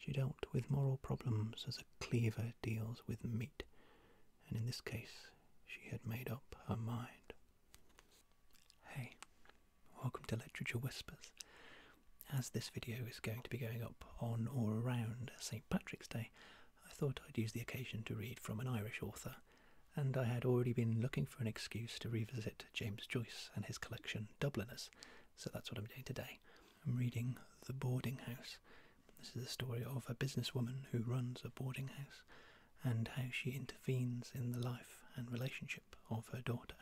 She dealt with moral problems as a cleaver deals with meat, and in this case she had made up her mind. Hey, welcome to Literature Whispers. As this video is going to be going up on or around St Patrick's Day, I thought I'd use the occasion to read from an Irish author, and I had already been looking for an excuse to revisit James Joyce and his collection Dubliners, so that's what I'm doing today. I'm reading The Boarding House. This is the story of a businesswoman who runs a boarding house and how she intervenes in the life and relationship of her daughter.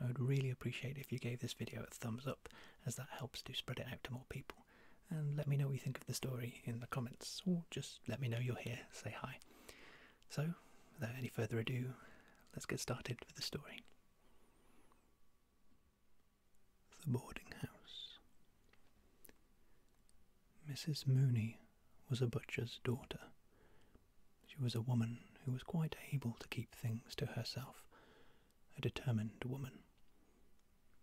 I would really appreciate if you gave this video a thumbs up as that helps to spread it out to more people. And let me know what you think of the story in the comments or just let me know you're here, say hi. So, without any further ado, let's get started with the story. The boarding house. Mrs. Mooney was a butcher's daughter. She was a woman who was quite able to keep things to herself, a determined woman.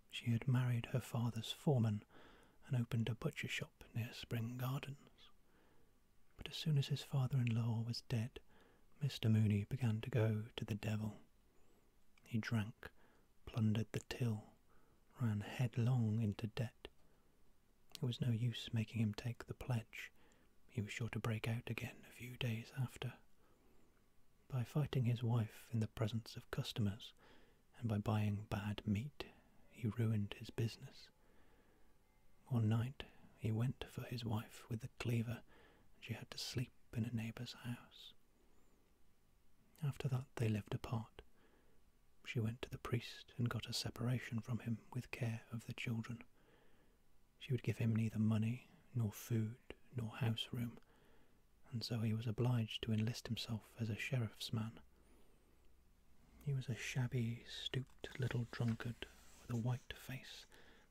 She had married her father's foreman and opened a butcher shop near Spring Gardens. But as soon as his father-in-law was dead, Mr. Mooney began to go to the devil. He drank, plundered the till, ran headlong into debt. It was no use making him take the pledge. He was sure to break out again a few days after. By fighting his wife in the presence of customers, and by buying bad meat, he ruined his business. One night he went for his wife with the cleaver, and she had to sleep in a neighbour's house. After that they lived apart. She went to the priest and got a separation from him with care of the children. She would give him neither money, nor food, nor house room, and so he was obliged to enlist himself as a sheriff's man. He was a shabby, stooped little drunkard with a white face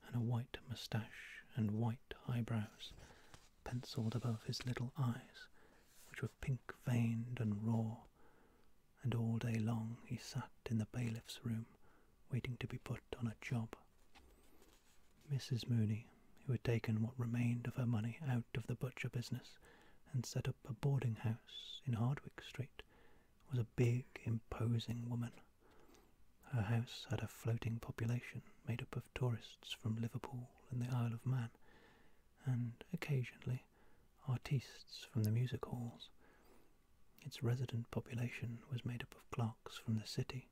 and a white moustache and white eyebrows, pencilled above his little eyes, which were pink veined and raw, and all day long he sat in the bailiff's room waiting to be put on a job. Mrs. Mooney, who had taken what remained of her money out of the butcher business and set up a boarding house in Hardwick Street, was a big, imposing woman. Her house had a floating population made up of tourists from Liverpool and the Isle of Man, and occasionally artistes from the music halls. Its resident population was made up of clerks from the city.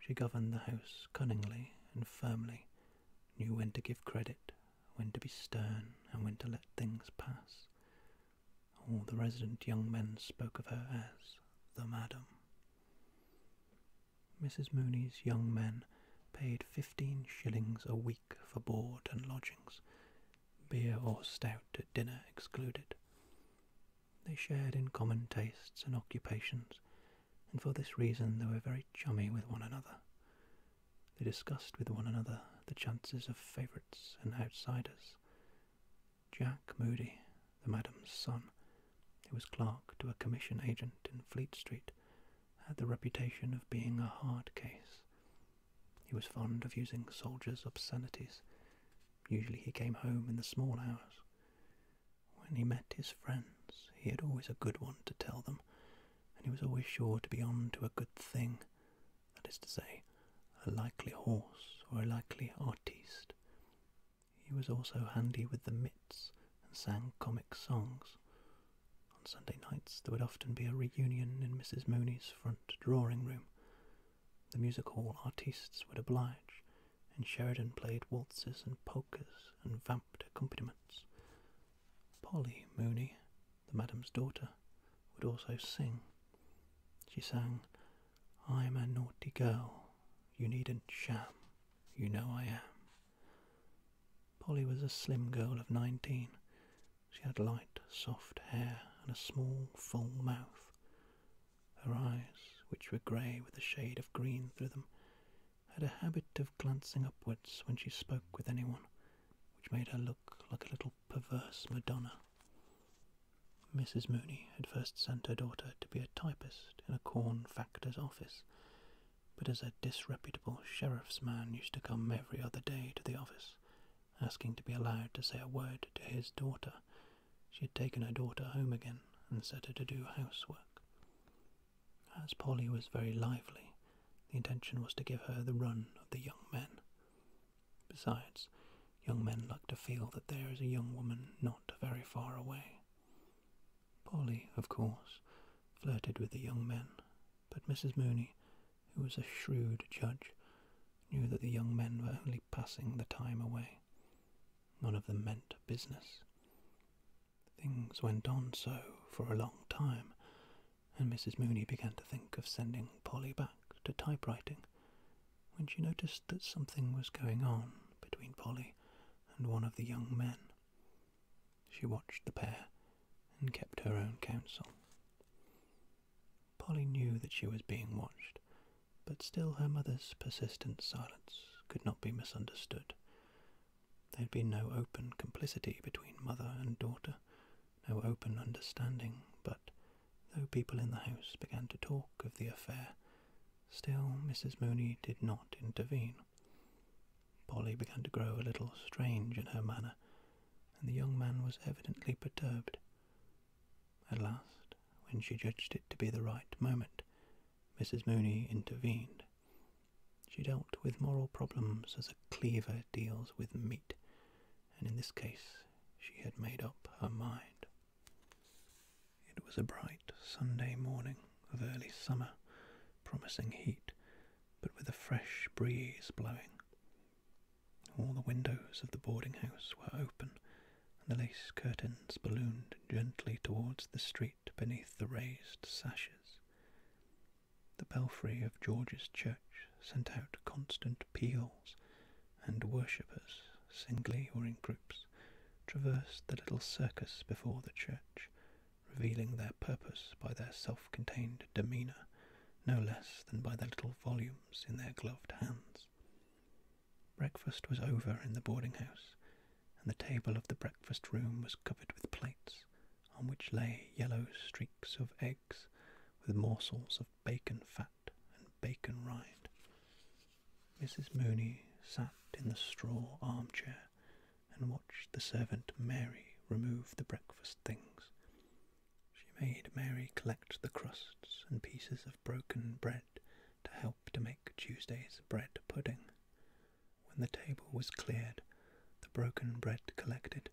She governed the house cunningly and firmly, knew when to give credit, when to be stern, and when to let things pass. All the resident young men spoke of her as the madam. Mrs. Mooney's young men paid fifteen shillings a week for board and lodgings, beer or stout at dinner excluded. They shared in common tastes and occupations, and for this reason they were very chummy with one another. They discussed with one another the chances of favourites and outsiders. Jack Moody, the madam's son, who was clerk to a commission agent in Fleet Street, had the reputation of being a hard case. He was fond of using soldiers' obscenities. Usually he came home in the small hours. When he met his friends, he had always a good one to tell them, and he was always sure to be on to a good thing, that is to say, a likely horse or a likely artiste. He was also handy with the mitts and sang comic songs. On Sunday nights there would often be a reunion in Mrs. Mooney's front drawing room. The music hall artistes would oblige, and Sheridan played waltzes and polkas and vamped accompaniments. Polly Mooney the madam's daughter, would also sing. She sang, I'm a naughty girl, you needn't sham, you know I am. Polly was a slim girl of nineteen. She had light, soft hair and a small, full mouth. Her eyes, which were grey with a shade of green through them, had a habit of glancing upwards when she spoke with anyone, which made her look like a little perverse Madonna. Mrs. Mooney had first sent her daughter to be a typist in a corn factor's office, but as a disreputable sheriff's man used to come every other day to the office, asking to be allowed to say a word to his daughter, she had taken her daughter home again and set her to do housework. As Polly was very lively, the intention was to give her the run of the young men. Besides, young men like to feel that there is a young woman not very far away. Polly, of course, flirted with the young men, but Mrs. Mooney, who was a shrewd judge, knew that the young men were only passing the time away. None of them meant business. Things went on so for a long time, and Mrs. Mooney began to think of sending Polly back to typewriting when she noticed that something was going on between Polly and one of the young men. She watched the pair and kept her own counsel. Polly knew that she was being watched, but still her mother's persistent silence could not be misunderstood. There had been no open complicity between mother and daughter, no open understanding, but though people in the house began to talk of the affair, still Mrs. Mooney did not intervene. Polly began to grow a little strange in her manner, and the young man was evidently perturbed. At last, when she judged it to be the right moment, Mrs. Mooney intervened. She dealt with moral problems as a cleaver deals with meat, and in this case she had made up her mind. It was a bright Sunday morning of early summer, promising heat, but with a fresh breeze blowing. All the windows of the boarding house were open, and the lace curtains ballooned gently towards the street beneath the raised sashes. The belfry of George's Church sent out constant peals, and worshippers, singly or in groups, traversed the little circus before the church, revealing their purpose by their self contained demeanour no less than by the little volumes in their gloved hands. Breakfast was over in the boarding house, and the table of the breakfast room was covered with plates, on which lay yellow streaks of eggs with morsels of bacon fat and bacon rind. Mrs. Mooney sat in the straw armchair and watched the servant Mary remove the breakfast things. She made Mary collect the crusts and pieces of broken bread to help to make Tuesday's bread pudding. When the table was cleared, the broken bread collected,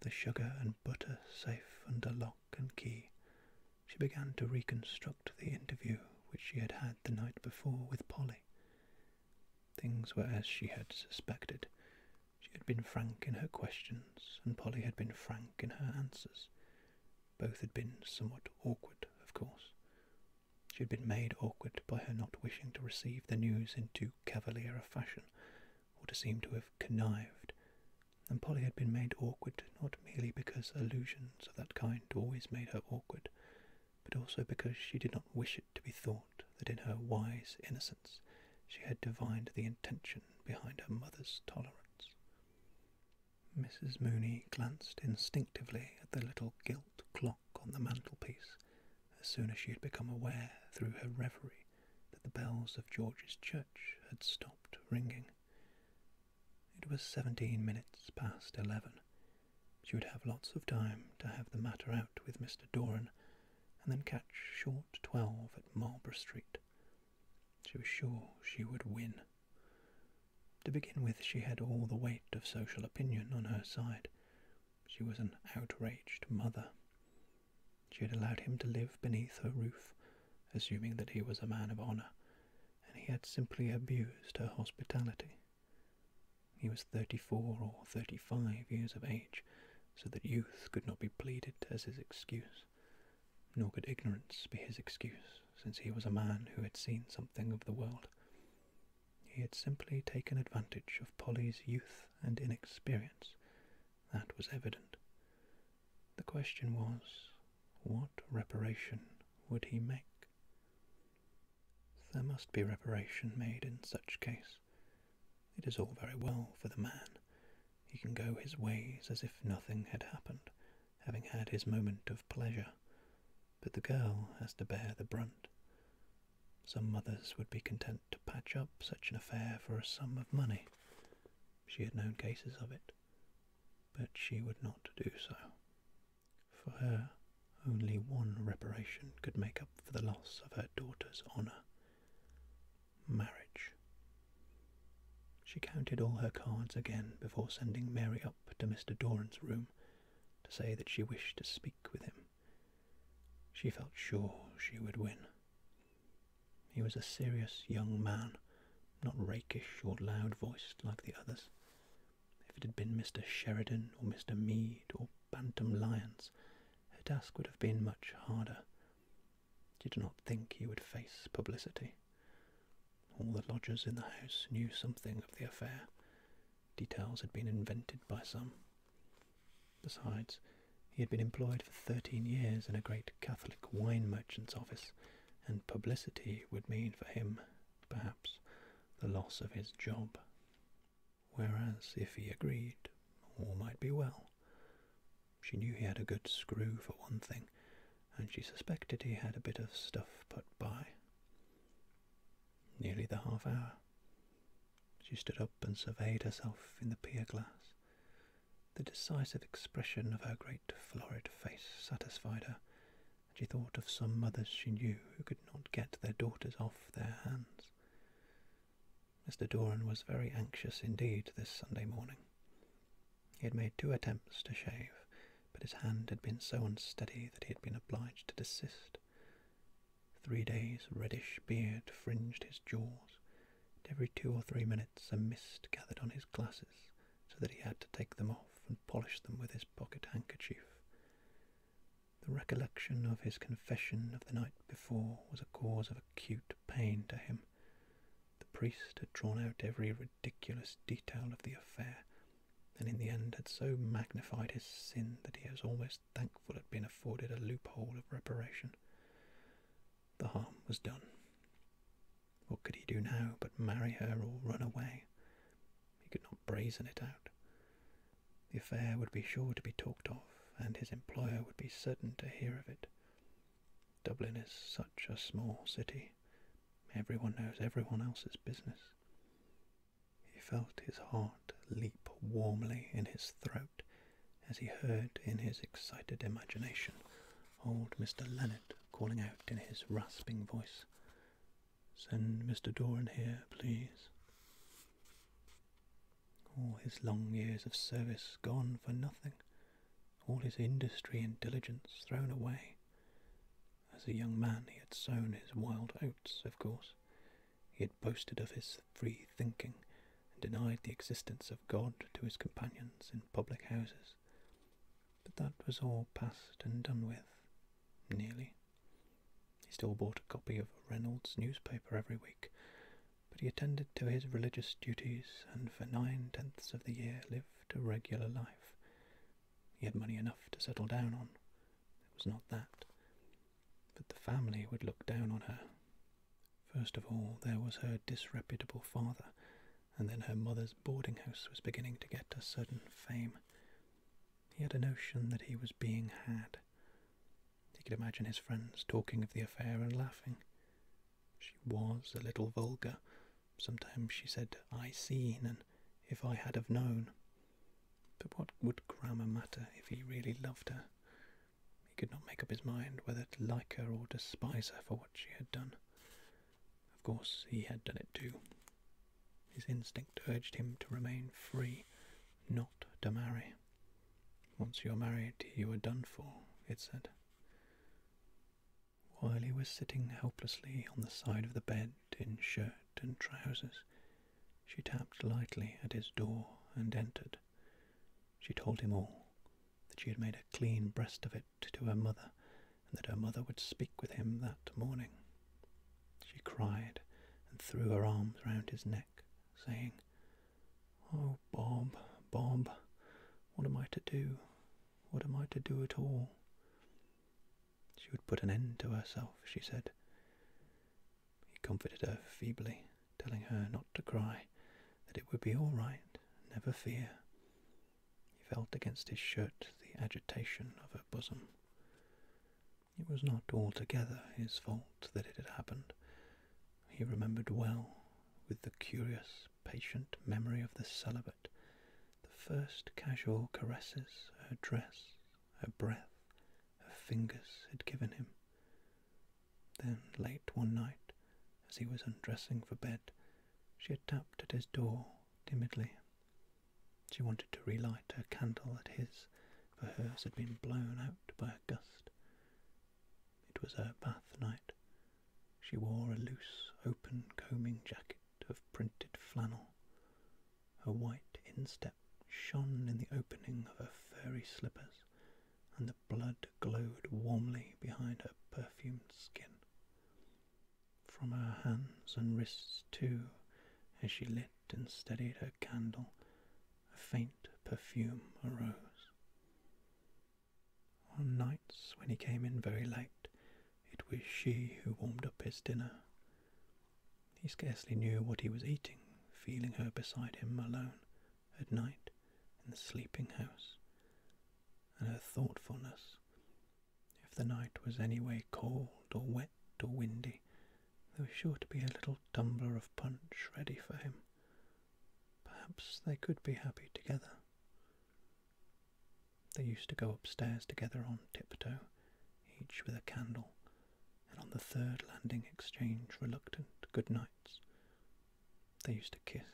the sugar and butter safe under lock and key, she began to reconstruct the interview which she had had the night before with Polly. Things were as she had suspected. She had been frank in her questions, and Polly had been frank in her answers. Both had been somewhat awkward, of course. She had been made awkward by her not wishing to receive the news in too cavalier a fashion, or to seem to have connived, and Polly had been made awkward not merely because allusions of that kind always made her awkward, but also because she did not wish it to be thought that in her wise innocence she had divined the intention behind her mother's tolerance. Mrs. Mooney glanced instinctively at the little gilt clock on the mantelpiece as soon as she had become aware through her reverie that the bells of George's church had stopped ringing. It was seventeen minutes past eleven. She would have lots of time to have the matter out with Mr. Doran, and then catch short twelve at Marlborough Street. She was sure she would win. To begin with, she had all the weight of social opinion on her side. She was an outraged mother. She had allowed him to live beneath her roof, assuming that he was a man of honour, and he had simply abused her hospitality. He was thirty-four or thirty-five years of age, so that youth could not be pleaded as his excuse, nor could ignorance be his excuse, since he was a man who had seen something of the world. He had simply taken advantage of Polly's youth and inexperience. That was evident. The question was, what reparation would he make? There must be reparation made in such case. It is all very well for the man. He can go his ways as if nothing had happened, having had his moment of pleasure. But the girl has to bear the brunt. Some mothers would be content to patch up such an affair for a sum of money. She had known cases of it, but she would not do so. For her, only one reparation could make up for the loss of her daughter's honour marriage. She counted all her cards again before sending Mary up to Mr. Doran's room to say that she wished to speak with him. She felt sure she would win. He was a serious young man, not rakish or loud-voiced like the others. If it had been Mr. Sheridan or Mr. Mead or Bantam Lyons, her task would have been much harder. She did not think he would face publicity. All the lodgers in the house knew something of the affair, details had been invented by some. Besides, he had been employed for thirteen years in a great Catholic wine merchant's office, and publicity would mean for him, perhaps, the loss of his job. Whereas, if he agreed, all might be well. She knew he had a good screw for one thing, and she suspected he had a bit of stuff put by nearly the half hour. She stood up and surveyed herself in the pier glass. The decisive expression of her great florid face satisfied her, and she thought of some mothers she knew who could not get their daughters off their hands. Mr. Doran was very anxious indeed this Sunday morning. He had made two attempts to shave, but his hand had been so unsteady that he had been obliged to desist. Three days' reddish beard fringed his jaws, and every two or three minutes a mist gathered on his glasses, so that he had to take them off and polish them with his pocket handkerchief. The recollection of his confession of the night before was a cause of acute pain to him. The priest had drawn out every ridiculous detail of the affair and in the end had so magnified his sin that he was almost thankful it had been afforded a loophole of reparation. The harm was done. What could he do now but marry her or run away? He could not brazen it out. The affair would be sure to be talked of, and his employer would be certain to hear of it. Dublin is such a small city. Everyone knows everyone else's business. He felt his heart leap warmly in his throat as he heard in his excited imagination old Mr. Lennard calling out in his rasping voice, Send Mr. Doran here, please. All his long years of service gone for nothing, all his industry and diligence thrown away, as a young man, he had sown his wild oats, of course. He had boasted of his free thinking and denied the existence of God to his companions in public houses. But that was all past and done with, nearly. He still bought a copy of Reynolds' newspaper every week, but he attended to his religious duties and for nine tenths of the year lived a regular life, he had money enough to settle down on. It was not that. But the family would look down on her. First of all, there was her disreputable father, and then her mother's boarding house was beginning to get a certain fame. He had a notion that he was being had. He could imagine his friends talking of the affair and laughing. She was a little vulgar, Sometimes she said, I seen, and if I had have known. But what would grammar matter if he really loved her? He could not make up his mind whether to like her or despise her for what she had done. Of course, he had done it too. His instinct urged him to remain free, not to marry. Once you're married, you are done for, it said while he was sitting helplessly on the side of the bed in shirt and trousers. She tapped lightly at his door and entered. She told him all that she had made a clean breast of it to her mother, and that her mother would speak with him that morning. She cried and threw her arms round his neck, saying, Oh, Bob, Bob, what am I to do? What am I to do at all? She would put an end to herself, she said. He comforted her feebly, telling her not to cry, that it would be all right, never fear. He felt against his shirt the agitation of her bosom. It was not altogether his fault that it had happened. He remembered well, with the curious patient memory of the celibate, the first casual caresses her dress, her breath, her fingers had given him. Then, late one night, as he was undressing for bed, she had tapped at his door timidly. She wanted to relight her candle at his, for hers had been blown out by a gust. It was her bath night. She wore a loose, open combing jacket of printed flannel. Her white instep shone in the opening of her furry slippers, and the blood glowed warmly behind her perfumed skin. From her hands and wrists, too, as she lit and steadied her candle, a faint perfume arose. On nights when he came in very late, it was she who warmed up his dinner. He scarcely knew what he was eating, feeling her beside him alone at night in the sleeping house, and her thoughtfulness. If the night was any way cold or wet or windy, there was sure to be a little tumbler of punch ready for him. Perhaps they could be happy together. They used to go upstairs together on tiptoe, each with a candle, and on the third landing exchange reluctant good nights. They used to kiss.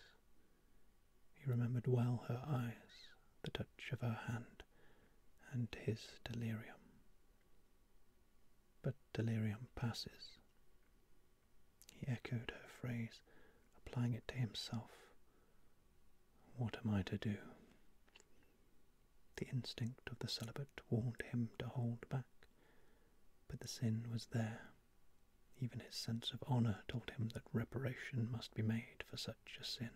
He remembered well her eyes, the touch of her hand, and his delirium. But delirium passes. He echoed her phrase, applying it to himself, what am I to do? The instinct of the celibate warned him to hold back, but the sin was there. Even his sense of honour told him that reparation must be made for such a sin.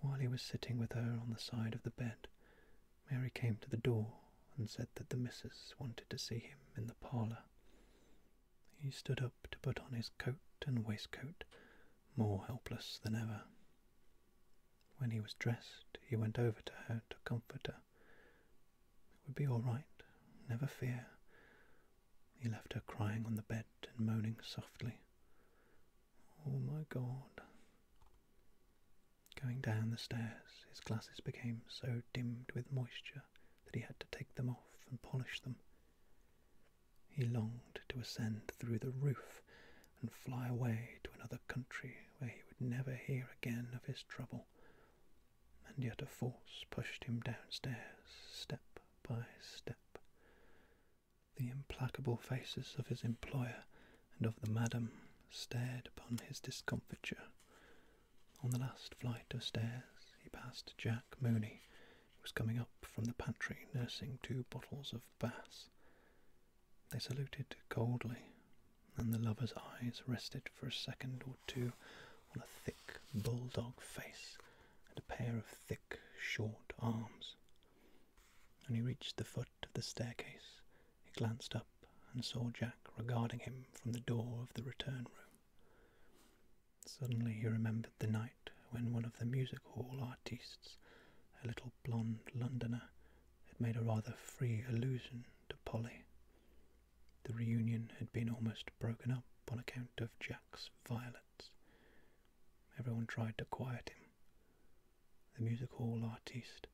While he was sitting with her on the side of the bed, Mary came to the door and said that the missus wanted to see him in the parlour. He stood up to put on his coat and waistcoat, more helpless than ever. When he was dressed, he went over to her to comfort her. It would be all right, never fear. He left her crying on the bed and moaning softly. Oh my God. Going down the stairs, his glasses became so dimmed with moisture that he had to take them off and polish them. He longed to ascend through the roof and fly away to another country where he would never hear again of his trouble, and yet a force pushed him downstairs step by step. The implacable faces of his employer and of the madam stared upon his discomfiture, on the last flight of stairs, he passed Jack Mooney, who was coming up from the pantry nursing two bottles of Bass. They saluted coldly, and the lover's eyes rested for a second or two on a thick bulldog face and a pair of thick, short arms. When he reached the foot of the staircase, he glanced up and saw Jack regarding him from the door of the return room. Suddenly he remembered the night when one of the music hall artistes, a little blond Londoner, had made a rather free allusion to Polly. The reunion had been almost broken up on account of Jack's violence. Everyone tried to quiet him. The music hall artiste,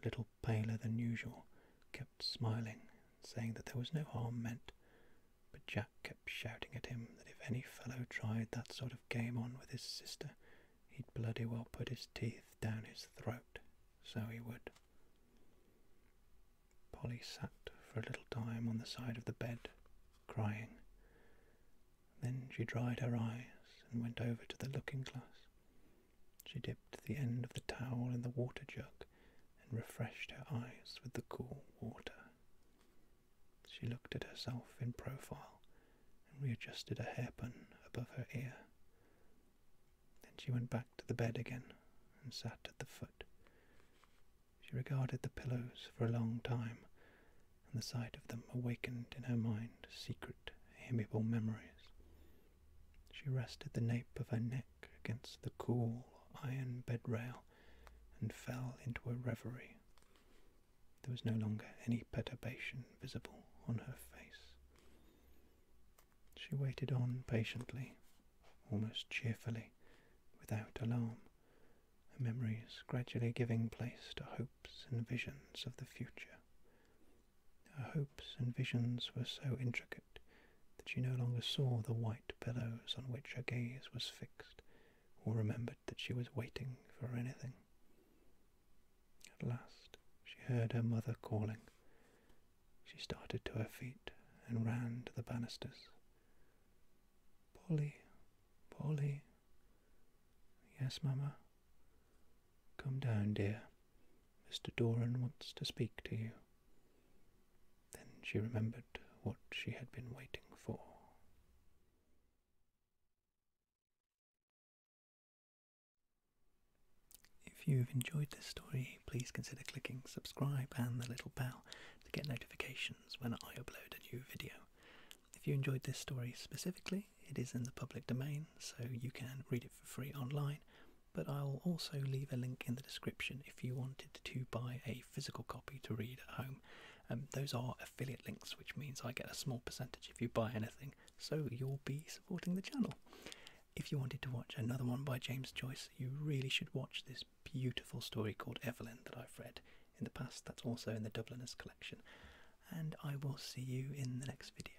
a little paler than usual, kept smiling, saying that there was no harm meant, but Jack kept shouting at him that if any fellow tried that sort of game on with his sister, he'd bloody well put his teeth down his throat, so he would. Polly sat for a little time on the side of the bed, crying. Then she dried her eyes and went over to the looking glass. She dipped the end of the towel in the water jug and refreshed her eyes with the cool water. She looked at herself in profile and readjusted a hairpin above her ear. Then she went back to the bed again and sat at the foot. She regarded the pillows for a long time, and the sight of them awakened in her mind secret, amiable memories. She rested the nape of her neck against the cool iron bed rail and fell into a reverie. There was no longer any perturbation visible on her face. She waited on patiently, almost cheerfully, without alarm, her memories gradually giving place to hopes and visions of the future. Her hopes and visions were so intricate that she no longer saw the white billows on which her gaze was fixed, or remembered that she was waiting for anything. At last she heard her mother calling. She started to her feet and ran to the banisters. Polly, Polly. Yes, mamma. Come down, dear. Mr. Doran wants to speak to you. Then she remembered what she had been waiting for. If you've enjoyed this story, please consider clicking subscribe and the little bell to get notifications when I upload a new video. If you enjoyed this story specifically, it is in the public domain, so you can read it for free online but I'll also leave a link in the description if you wanted to buy a physical copy to read at home. Um, those are affiliate links, which means I get a small percentage if you buy anything, so you'll be supporting the channel. If you wanted to watch another one by James Joyce, you really should watch this beautiful story called Evelyn that I've read in the past, that's also in the Dubliners collection. And I will see you in the next video.